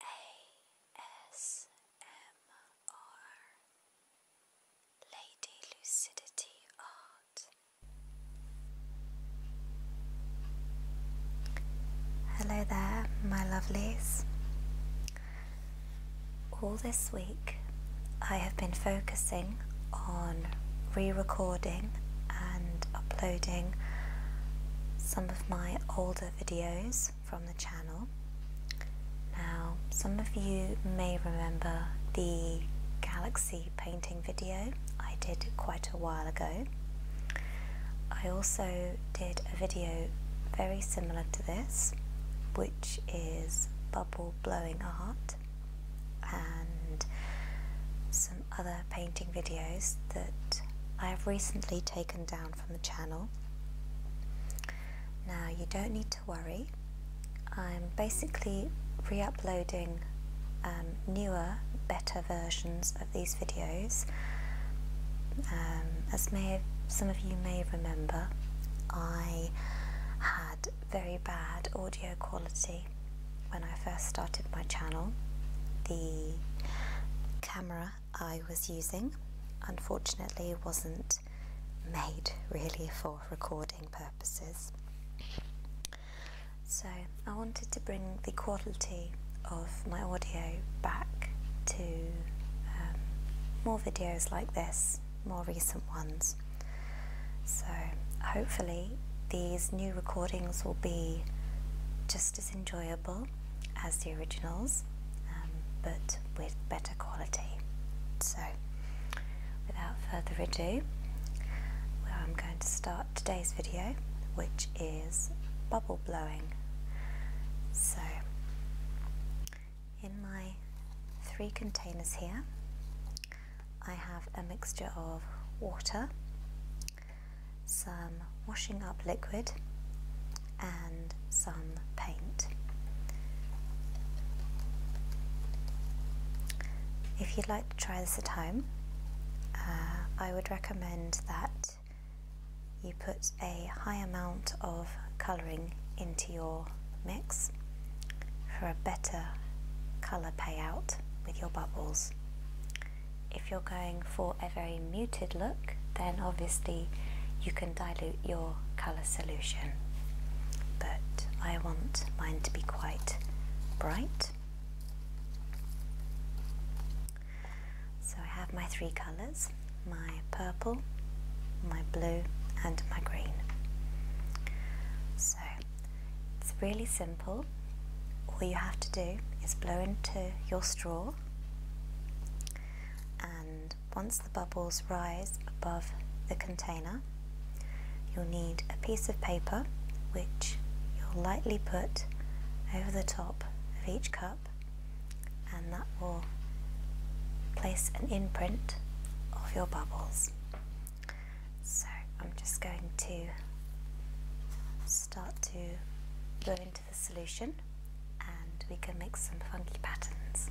ASMR Lady Lucidity Art. Hello there, my lovelies. All this week, I have been focusing on re recording and uploading some of my older videos from the channel. Now, some of you may remember the galaxy painting video I did quite a while ago. I also did a video very similar to this, which is bubble blowing art and some other painting videos that I have recently taken down from the channel. Now you don't need to worry. I'm basically re-uploading um, newer, better versions of these videos. Um, as may some of you may remember, I had very bad audio quality when I first started my channel. The camera I was using unfortunately wasn't made really for recording purposes. So I wanted to bring the quality of my audio back to um, more videos like this, more recent ones. So hopefully these new recordings will be just as enjoyable as the originals um, but with better quality. So, without further ado, I'm going to start today's video which is bubble blowing. So, in my three containers here, I have a mixture of water, some washing up liquid and some paint. If you'd like to try this at home, uh, I would recommend that you put a high amount of colouring into your mix for a better colour payout with your bubbles. If you're going for a very muted look, then obviously you can dilute your colour solution. But I want mine to be quite bright. So I have my three colours, my purple, my blue and my green. So it's really simple. All you have to do is blow into your straw and once the bubbles rise above the container you'll need a piece of paper which you'll lightly put over the top of each cup and that will place an imprint of your bubbles. So I'm just going to start to go into the solution and we can make some funky patterns.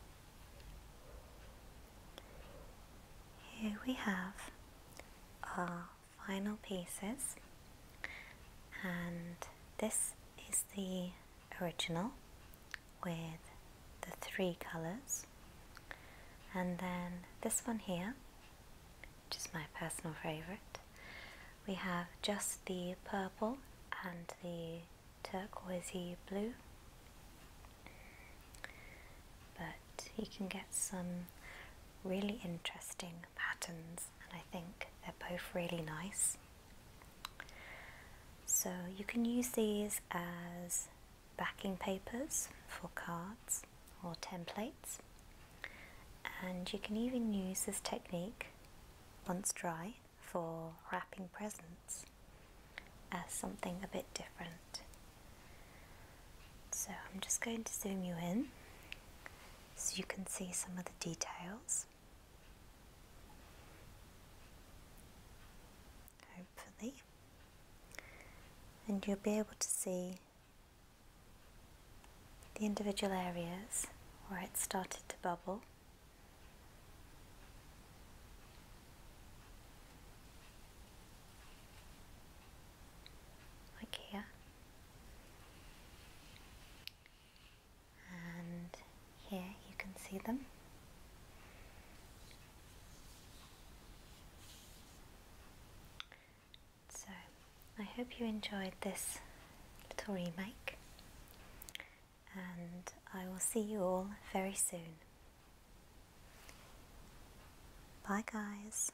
Here we have our final pieces and this is the original with the three colours and then this one here which is my personal favourite we have just the purple and the turquoisey blue but you can get some really interesting patterns and I think they're both really nice so you can use these as backing papers for cards or templates and you can even use this technique once dry for wrapping presents as something a bit different. So I'm just going to zoom you in so you can see some of the details. Hopefully. And you'll be able to see the individual areas where it started to bubble like here and here you can see them so I hope you enjoyed this little remake and I will see you all very soon. Bye, guys.